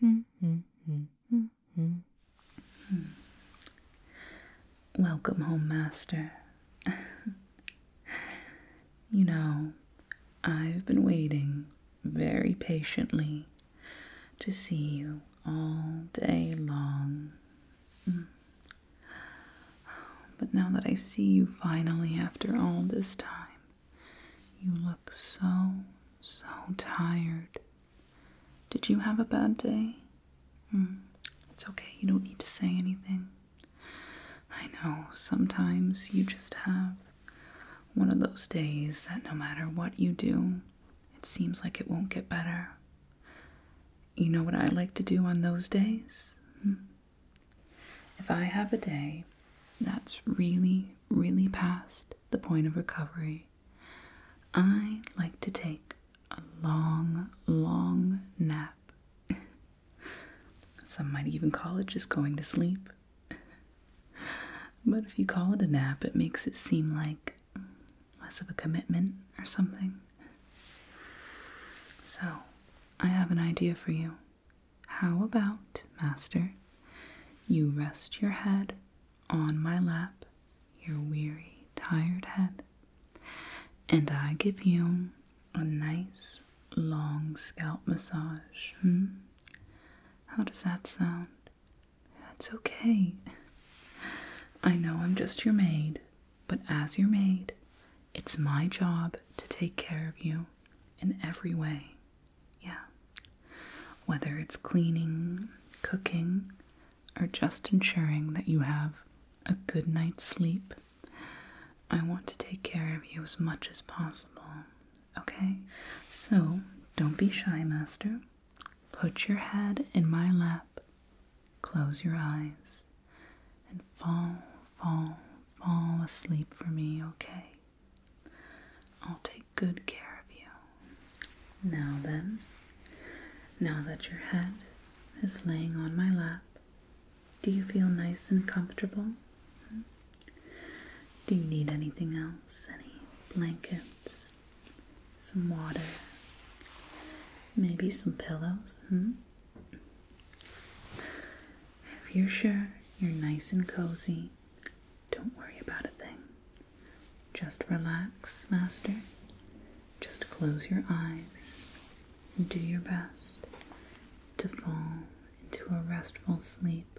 Hmm. Hmm. Hmm. Welcome home, Master. you know, I've been waiting very patiently to see you all day long. But now that I see you finally after all this time, you look so, so tired. Did you have a bad day? Hmm, it's okay, you don't need to say anything. I know, sometimes you just have one of those days that no matter what you do, it seems like it won't get better. You know what I like to do on those days? Hmm. If I have a day that's really, really past the point of recovery, I like to take a long, long nap. Some might even call it just going to sleep. but if you call it a nap, it makes it seem like less of a commitment or something. So, I have an idea for you. How about, master, you rest your head on my lap, your weary, tired head, and I give you a nice long scalp massage? Hmm? How does that sound? That's okay. I know I'm just your maid, but as your maid, it's my job to take care of you in every way. Yeah. Whether it's cleaning, cooking, or just ensuring that you have a good night's sleep, I want to take care of you as much as possible. Okay? So, don't be shy, Master. Put your head in my lap, close your eyes, and fall, fall, fall asleep for me, okay? I'll take good care of you. Now then, now that your head is laying on my lap, do you feel nice and comfortable? Hmm? Do you need anything else? Any blankets? Some water? Maybe some pillows? Hmm? If you're sure you're nice and cozy, don't worry about a thing. Just relax, Master. Just close your eyes and do your best to fall into a restful sleep.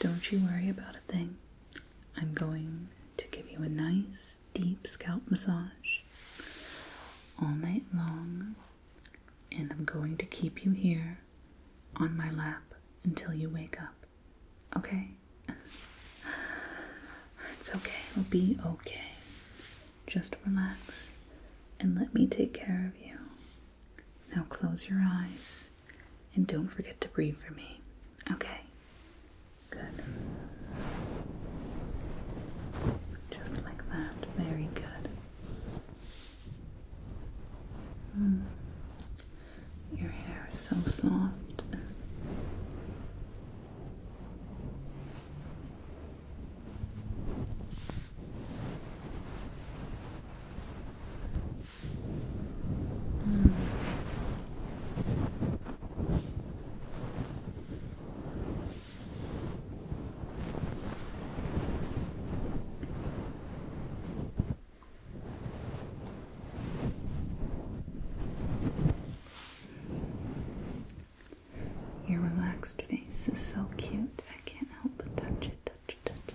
Don't you worry about a thing. I'm going to give you a nice deep scalp massage all night long and I'm going to keep you here on my lap until you wake up. Okay? it's okay. It'll be okay. Just relax and let me take care of you. Now close your eyes and don't forget to breathe for me. Okay? Good. Just like that. Very good. Mm. Your hair is so soft. Your relaxed face is so cute. I can't help but touch it, touch it, touch it.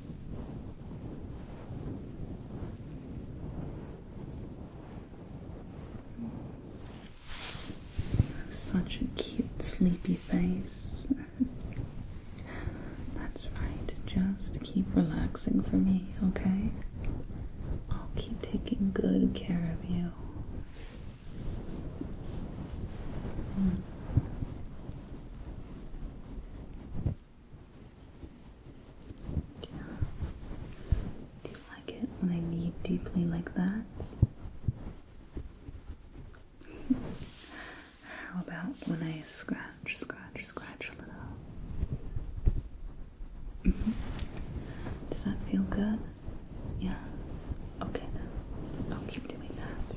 Such a cute sleepy face. That's right, just keep relaxing for me, okay? I'll keep taking good care of you. Hmm. Do you like it when I knead deeply like that? How about when I scratch, scratch, scratch a little? Mm-hmm. Does that feel good? Yeah. Okay then. I'll keep doing that.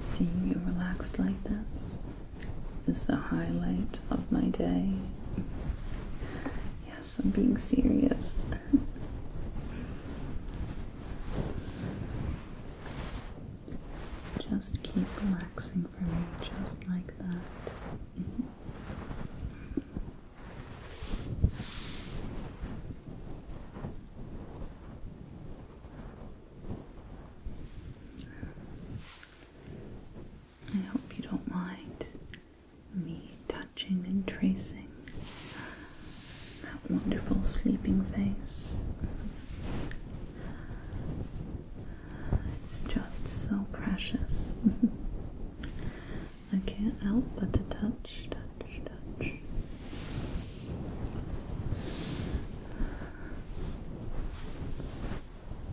Seeing you relaxed like this is the highlight of my day. Yes, I'm being serious. Just keep relaxing for me, just like that. I hope you don't mind me touching and tracing that wonderful sleeping face. It's just so precious. I can't help but to touch, touch, touch.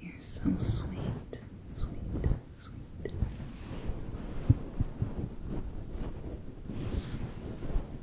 You're so sweet, sweet, sweet.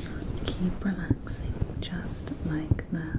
Just keep relaxing, just like that.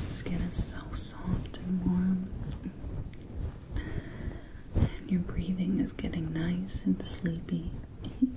Your Skin is so soft and warm, and your breathing is getting nice and sleepy.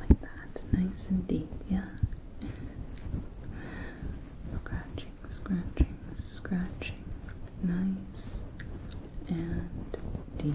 Like that, nice and deep, yeah. scratching, scratching, scratching, nice and deep.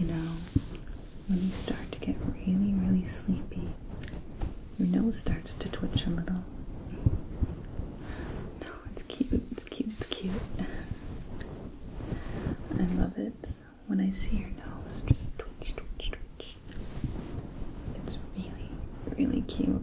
You know, when you start to get really, really sleepy, your nose starts to twitch a little. No, it's cute, it's cute, it's cute. I love it when I see your nose just twitch, twitch, twitch. It's really, really cute.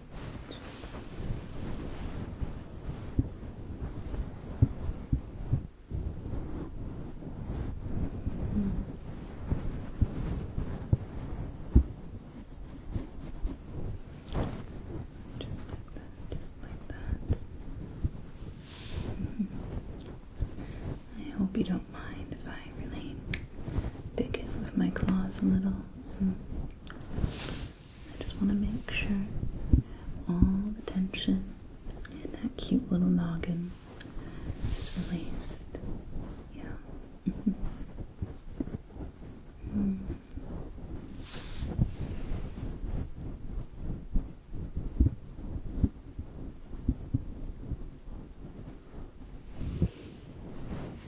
Mm-hmm. I hope you don't mind if I really dig in with my claws a little. Mm. I just want to make sure all the tension in that cute little noggin is released. Yeah. -hmm.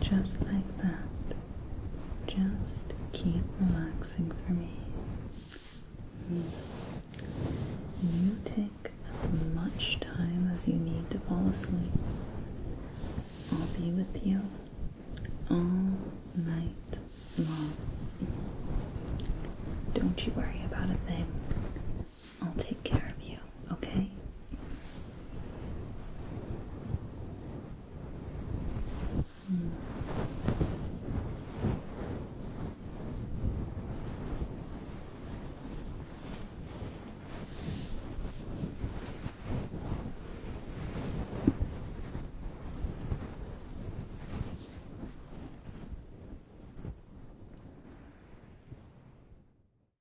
Just like that. Just keep relaxing for me. You take as much time as you need to fall asleep. I'll be with you all night long. Don't you worry about a thing. I'll take care of you, okay?